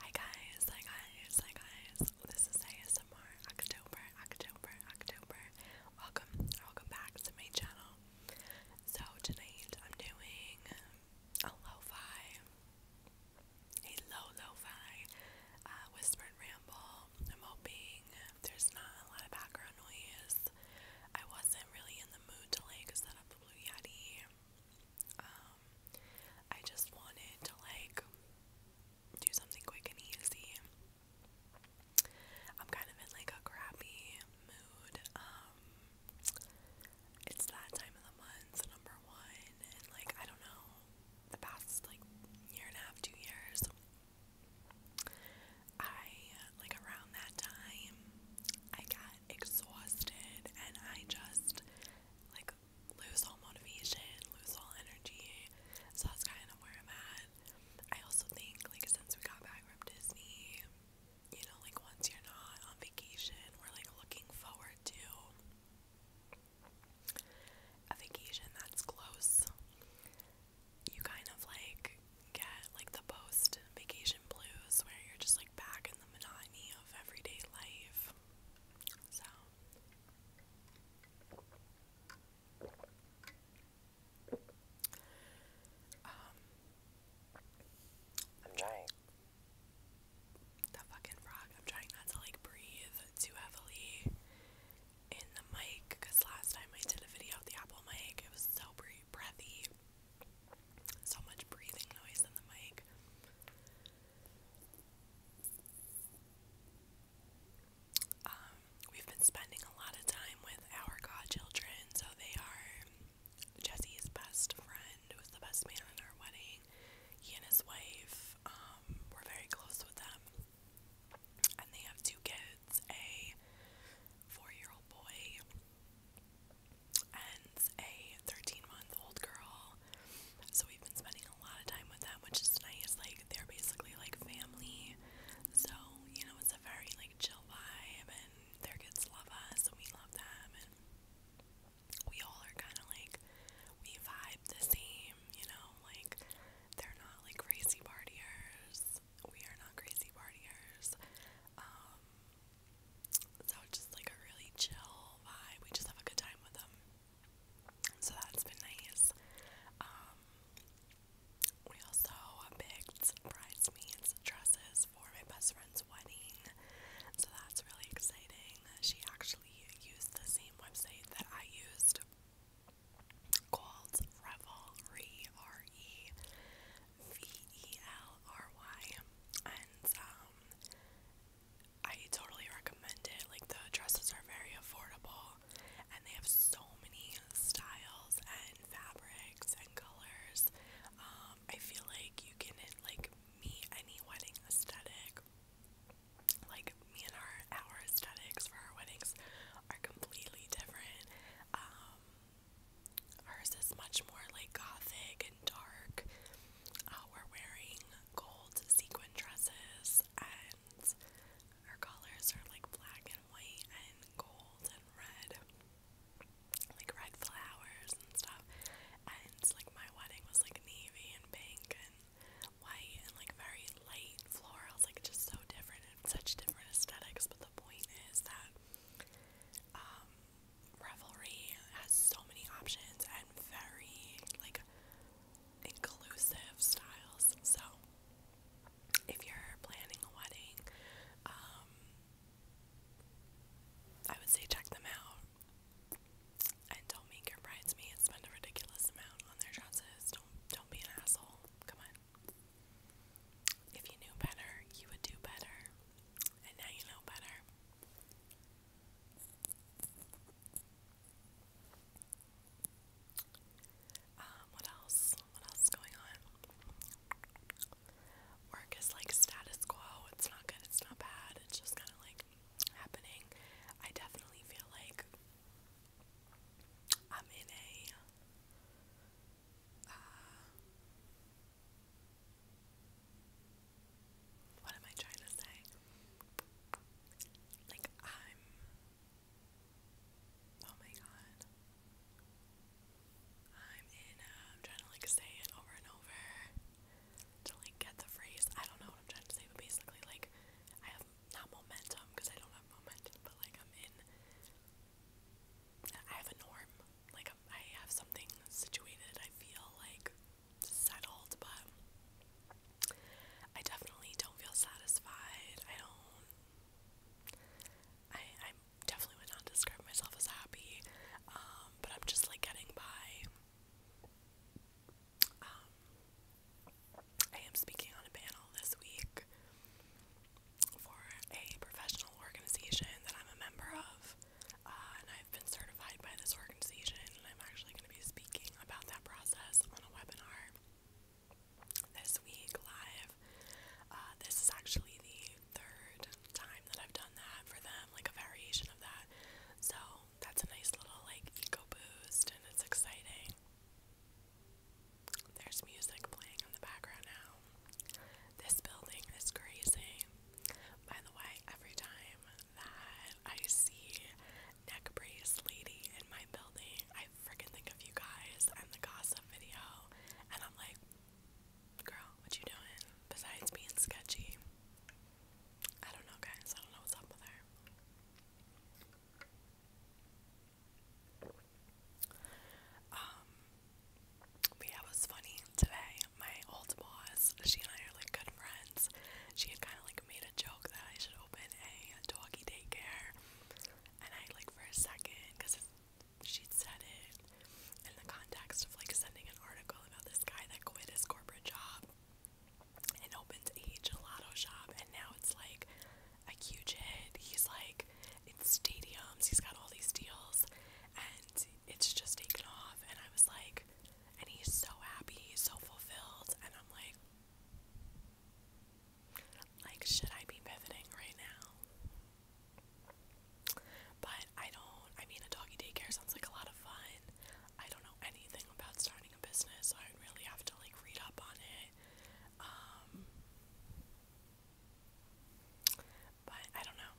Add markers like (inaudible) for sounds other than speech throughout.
Hi guys, hi guys, hi guys. This is ASMR October, October, October. Welcome, welcome back to my channel. So tonight I'm doing a lo a low lo uh, whispered ramble. I'm hoping there's not a lot of background noise. I wasn't really in the mood to like set up the Blue Yeti um, I just wanted to like do something quick and easy. I'm kind of in like a crappy mood. Um, it's that time of the month, number one, and like I don't know, the past like year and a half, two years. I like around that time I got exhausted and I just like lose all motivation, lose all energy. So that's kind of where I'm at. I also think like since we got back from Disney, you know, like once you're not on vacation, we're like looking forward to a vacation that's close. You kind of like get like the post vacation blues where you're just like back in the monotony of everyday life. So um, I'm trying the fucking frog. I'm trying not to like breathe too heavily in the mic because last time I did a video at the Apple mic, it was so breathy so much breathing noise in the mic. Um, we've been spending a lot of time with our godchildren, so they are Jesse's best friend, who was the best man at our wedding. He and his wife um, were very close with them, and they have two kids: a four-year-old boy and a 13 month old girl. So we've been spending a lot of time with them, which is nice. Like they're basically like family. So, you know, it's a very like chill vibe and their kids love us and we love them and we all are kinda like we vibe the same, you know, like they're not like crazy partiers. We are not crazy partiers. Um, so it's just like a really chill vibe. We just have a good time with them. So that's been nice. Um, we also picked bridesmaids dresses for my best friend's wedding. So that's really exciting. She actually used the same website that I used called Revelry R E V E L R Y, and um, I totally recommend it. Like the dresses are very affordable, and they have so many styles and fabrics and colors. Um, I feel like you can like meet any wedding aesthetic. Like me and our our aesthetics for our weddings are completely different. Um, Ours is much more like gothic and dark. Uh, we're wearing gold sequin dresses, and our colors are like black and white, and gold and red, like red flowers and stuff. And like my wedding was like navy and pink and white, and like very light florals, like just so different and such different aesthetics. But the point is that um, Revelry has so many options and very like inclusive styles. So if you're planning a wedding, um, I would say check them out. And don't make your bridesmaids spend a ridiculous amount on their dresses. Don't don't be an asshole. Come on. If you knew better, you would do better. And now you know better. Um, what else? What else is going on? Work is like status quo. It's not good, it's not bad. It's just kind of like happening. I definitely feel like I'm in a uh, what am I trying to say? Like, I'm. Oh my god. I'm in. Uh, I'm trying to, like, say it over and over to, like, get the phrase. I don't know what I'm trying to say, but basically, like, I have not momentum because I don't have momentum, but, like, I'm in. I have a norm. Like, I have something situated. I feel like settled, but I definitely don't feel satisfied. I don't. I I definitely would not describe myself as happy, um, but I'm just like getting by. Um, I am speaking on a panel this week for a professional organization that I'm a member of, uh, and I've been certified by this organization, and I'm actually going to be speaking about that process on a webinar this week live. Uh, this is actually the third time that I've done that for them, like a variation of that. So that's a nice little like eco boost, and it's exciting. There's music playing in the background now. This building is crazy. By the way, every time that I see neck brace lady in my building, I freaking think of you guys and the gossip video, and I'm like, girl, what you doing besides being sketchy? I don't know, guys. I don't know what's up with her. Um, yeah, was funny today. My old boss, she and I are like good friends. She had kind of like made a joke that I should open a doggy daycare, and I like for a second, because she said it in the context of like sending an article about this guy that quit his corporate job and opens a gelato shop, and now it's like a huge hit. He's like in stadiums, he's got all these deals, and it's just taken off. And I was like, and he's so happy, he's so fulfilled, and I'm like, like, should I be pivoting right now? But I don't, I mean, a doggy daycare sounds like a lot of fun. I don't know anything about starting a business, so I'd really have to like read up on it. Um, but I don't know.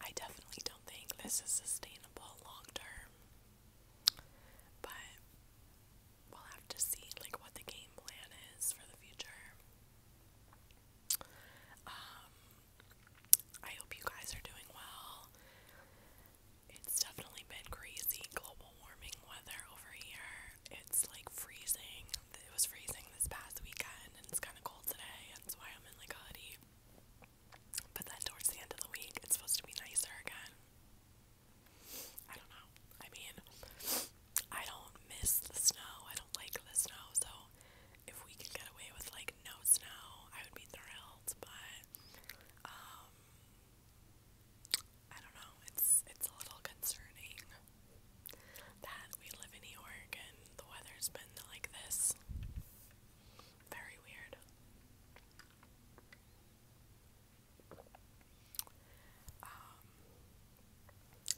I definitely don't think this is sustainable long term. But we'll have to see like what the game plan is for the future. Um I hope you guys are doing well. It's definitely been crazy global warming weather over here. It's like freezing. It was freezing this past weekend, and it's kind of cold today, and that's why I'm in like a hoodie. But then towards the end of the week, it's supposed to be nicer again. I don't know. I mean, I don't miss the snow. I don't like the snow. So if we could get away with like no snow, I would be thrilled. But um, I don't know. It's it's a little concerning that we live in New the weather's been like this. Very weird. Um,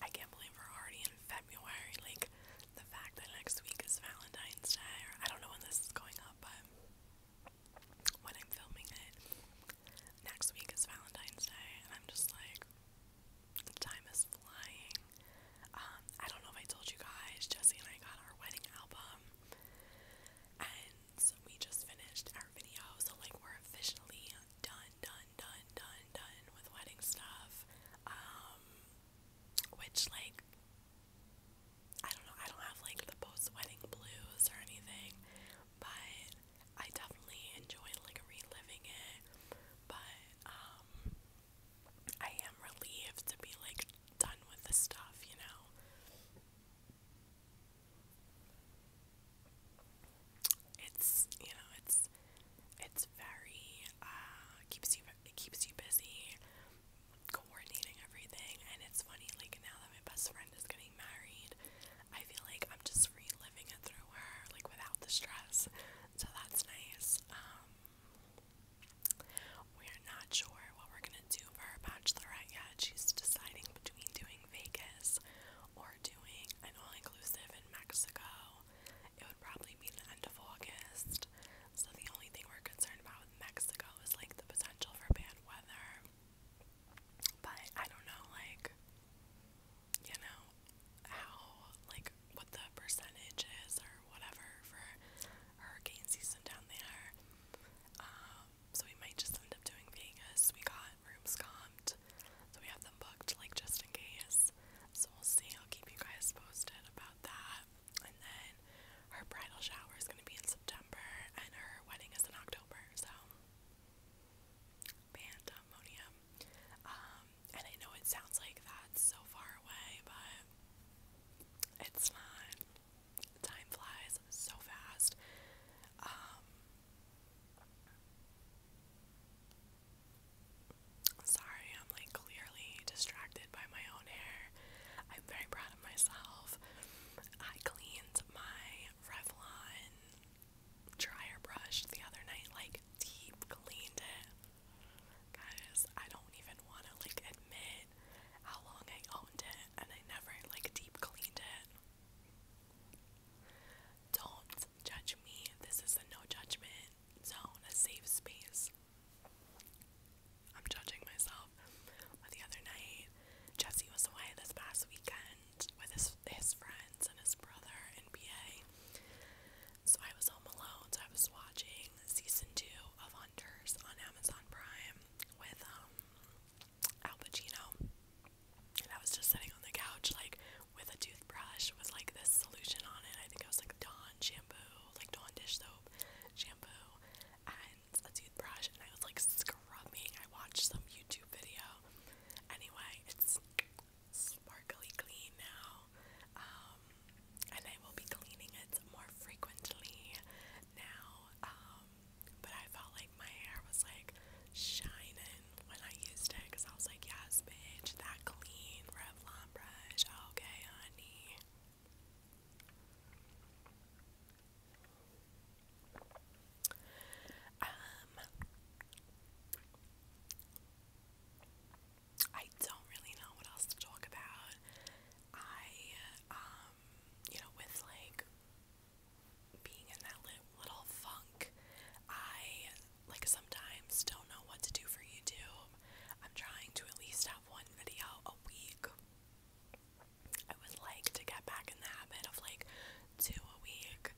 I can't believe we're already in February. Like, the fact that next week is Valentine's Day, or I don't know when this is going up, but when I'm filming it, next week is Valentine's Day, and I'm just like, Time is flying. Um, I don't know if I told you guys, Jesse and I got our wedding album. And we just finished our video, so like we're officially done, done, done, done, done with wedding stuff. Um which like I don't know, I don't have like the post wedding blues or anything, but I definitely enjoy like reliving it, but um, I am relieved to be like done with the stuff, you know. It's you know it's it's very uh, keeps you it keeps you busy coordinating everything, and it's funny like now that my best friend is going married, I feel like I'm just reliving it through her, like without the stress. So that's nice. Um, we're not sure what we're gonna do for her bachelorette yet. She's deciding between doing Vegas or doing an all inclusive in Mexico. It would probably be the end of August. So the only thing we're concerned about with Mexico is like the potential for bad weather. But I don't know, like you know, how, like, what the percentage is or whatever for hurricane season down there. Um, so we might just end up doing Vegas. We got rooms combed, so we have them booked, like, just in case. So we'll see. I'll keep you guys posted about that. And then her bridal shower is going to be in September, and her wedding is in October, so pandemonium. Um, and I know it sounds like that's so far away, but it's not. Time flies so fast. Um, sorry, I'm like clearly distracted by my own hair. I'm very proud of myself. I cleaned my Revlon dryer brush the other night, like deep cleaned it. Guys, I don't even want to like admit how long I owned it and I never like deep cleaned it. Don't judge me. This is a no judgment zone, a safe space. I'm judging myself. But the other night, Jesse was away this past weekend with his his friends and his brother and PA. So I was home alone, so I was watching season two of Hunters on Amazon Prime with um Al Pacino. And I was just sitting on the couch like with a toothbrush with like this solution on it. I think it was like Dawn shampoo, like Dawn dish soap shampoo and a toothbrush and I was like scrubbing. I watched some YouTube video. Anyway, it's sparkly clean now. Um, and I will be cleaning it more frequently now. Um, but I felt like my hair was like shining when I used it because I was like, yes, bitch, that clean Revlon brush. Okay, honey. Um, I don't really know what else to talk about. I, um, you know, with like being in that little funk, I like sometimes don't know what to do for YouTube. I'm trying to at least have one video a week. I would like to get back in the habit of like two a week.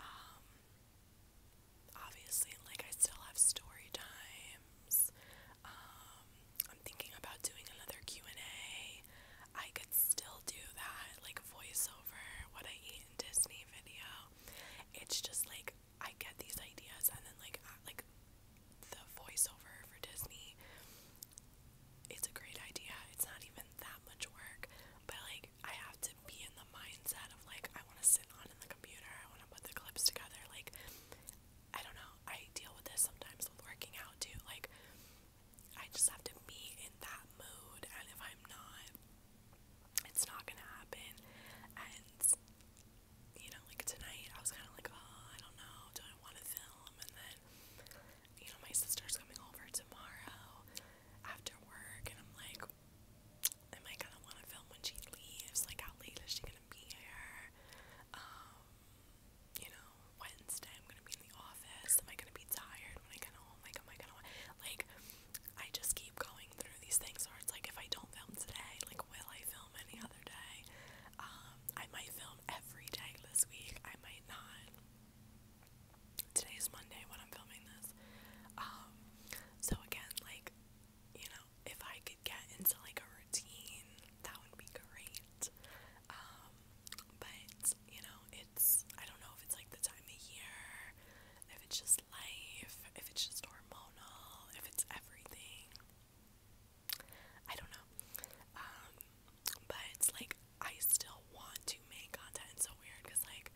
Um, obviously, like I still have story times. Um, I'm thinking about doing another Q and A. I could still do that, like voiceover, what I eat in Disney video. It's just like I get these ideas, and then like uh, like the voiceover for Disney it's a great idea. It's not even that much work, but like I have to be in the mindset of like I want to sit on in the computer. I want to put the clips together. Like I don't know. I deal with this sometimes with working out too. Like I just have to be in that mood, and if I'm not, it's not gonna happen. And you know, like tonight, I was kind of like, oh, I don't know, do I want to film? And then you know, my sister's coming over tomorrow after work, and I'm like, am I gonna want to film when she leaves? Like, how late is she gonna be here? Um, you know, Wednesday I'm gonna be in the office. Am I gonna be tired when I get home? Like, am I gonna like? I just keep going through these things, or it's like if I don't film today, like, will I film any other day? Um, I might film every day this week. I might not today is Monday when I'm filming this. Um, so again, like, you know, if I could get into like a routine, that would be great. Um, but you know, it's I don't know if it's like the time of year, if it's just life, if it's just hormonal, if it's everything. I don't know. Um, but it's like I still want to make content. so weird because like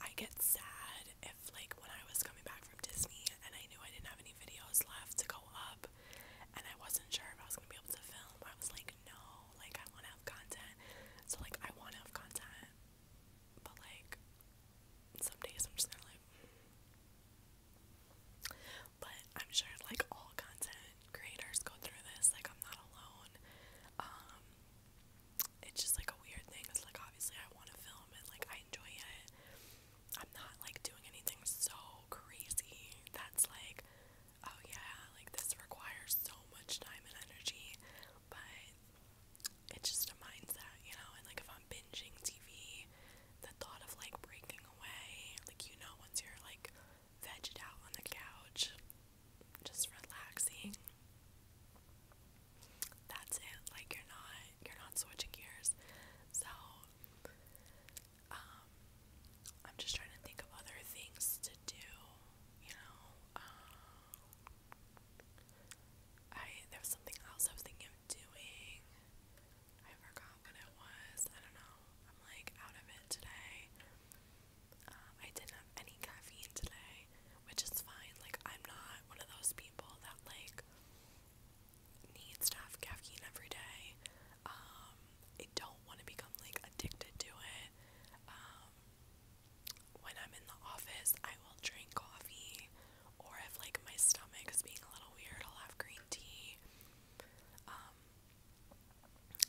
I get sad if like when I was coming back from Disney and I knew I didn't have any videos left to go up and I wasn't sure if I was gonna be able to film. I was like, no, like I wanna have content. So like I wanna have content. But like some days I'm just like but I'm sure like all content creators go through this. Like I'm not alone. Um, it's just like a weird thing. It's like obviously I want to film and like I enjoy it. I'm not like doing anything so crazy that's like, oh yeah, like this requires so much time and energy, but it's just a mindset, you know. And like if I'm binging TV, the thought of like breaking away, like you know, once you're like vegged out on the couch, just relaxing. That's it. Like you're not you're not switching gears. So um I'm just trying to think of other things to do, you know. Um, I there something else I was thinking of doing. I forgot what it was. I don't know. I'm like out of it today. Um, I didn't have any caffeine today, which is fine. Like, I'm not one of those people that, like, needs to have caffeine every day. Um, I don't want to become, like, addicted to it. Um, when I'm in the office, I will drink coffee, or if, like, my stomach is being a little weird, I'll have green tea.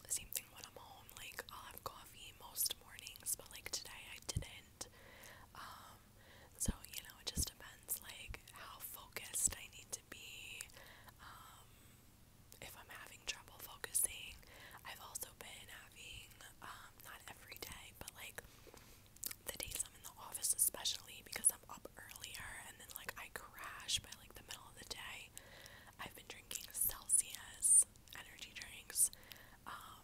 Same thing when I'm home, like I'll have coffee most mornings, but like today I didn't. Um, so you know, it just depends like how focused I need to be. Um, if I'm having trouble focusing, I've also been having um, not every day, but like the days I'm in the office, especially because I'm up earlier and then like I crash by like the middle of the day. I've been drinking Celsius energy drinks. Um,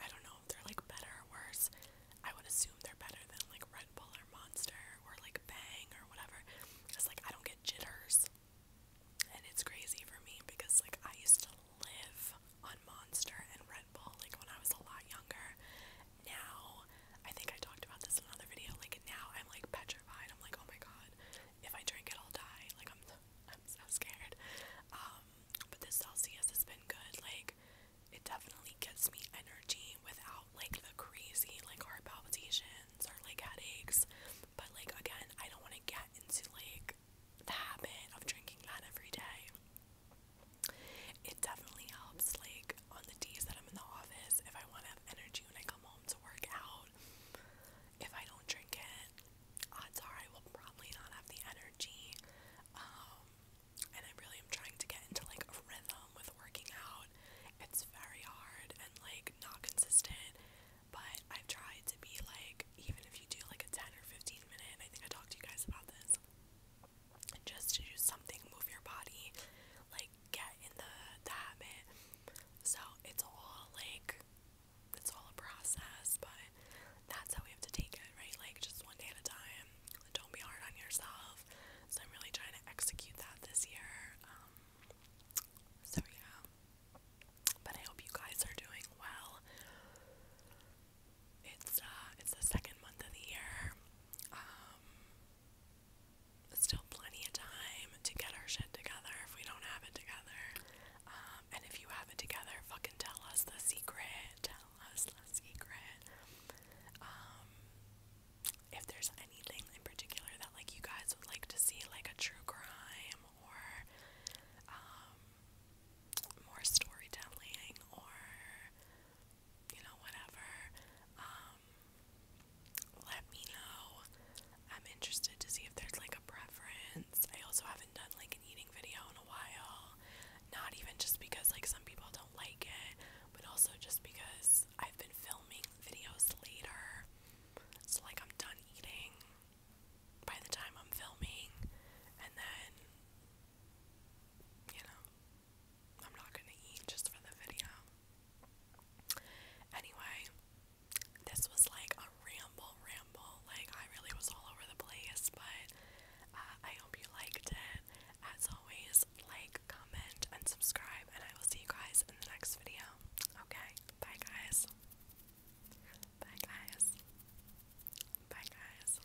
I don't know if they're like better or worse. I would assume they're better than like Red Bull or Monster or like Bang or whatever. Cause like I don't get jitters. And it's crazy for me because like I used to live on Monster and Red Bull like when I was a lot younger now, I think I talked about this in another video, like now I'm like petrified. I'm like, oh my god, if I drink it, I'll die. Like I'm, (laughs) I'm so scared. Um, but this Celsius has been good. Like it definitely gets me energy without like the crazy like heart palpitations or like headaches. But like again, I don't want to get into like the habit of drinking that every day. It definitely helps like on the days that I'm in the office, if I want to have energy when I come home to work out, if I don't drink it, odds are I will probably not have the energy. Um, and I really am trying to get into like a rhythm with working out. It's very hard and like not consistent, but I've tried to be like, even if you do like a 10 or 15 minute, I think I talked to you guys about this just to do something, move your body, like get in the, the habit. So it's all like it's all a process, but that's how we have to take it, right? Like just one day at a time. Don't be hard on yourself. So I'm really trying to execute that this year. Um, so yeah. But I hope you guys are doing well. It's uh it's the second month of the year. Um still plenty of time to get our shit together if we don't have it together. Um, and if you have it together, fucking tell us the secret. Tell us the secret. Um, if there's anything in particular that like you guys would like to see, like a true crime or um, more storytelling or you know whatever, let me know. I'm interested to see if there's like a preference. I also haven't done like an eating video in a while. Not even just because like some people don't like it, but also just because I've been filming videos later. So like I'm done eating by the time I'm filming and then you know, I'm not gonna eat just for the video. Anyway, this was like a ramble, ramble. Like, I really was all over the place, but uh, I hope you liked it. As always, like, comment, and subscribe, and I will see you guys in the next video. Okay? Bye, guys. Bye, guys. Bye, guys.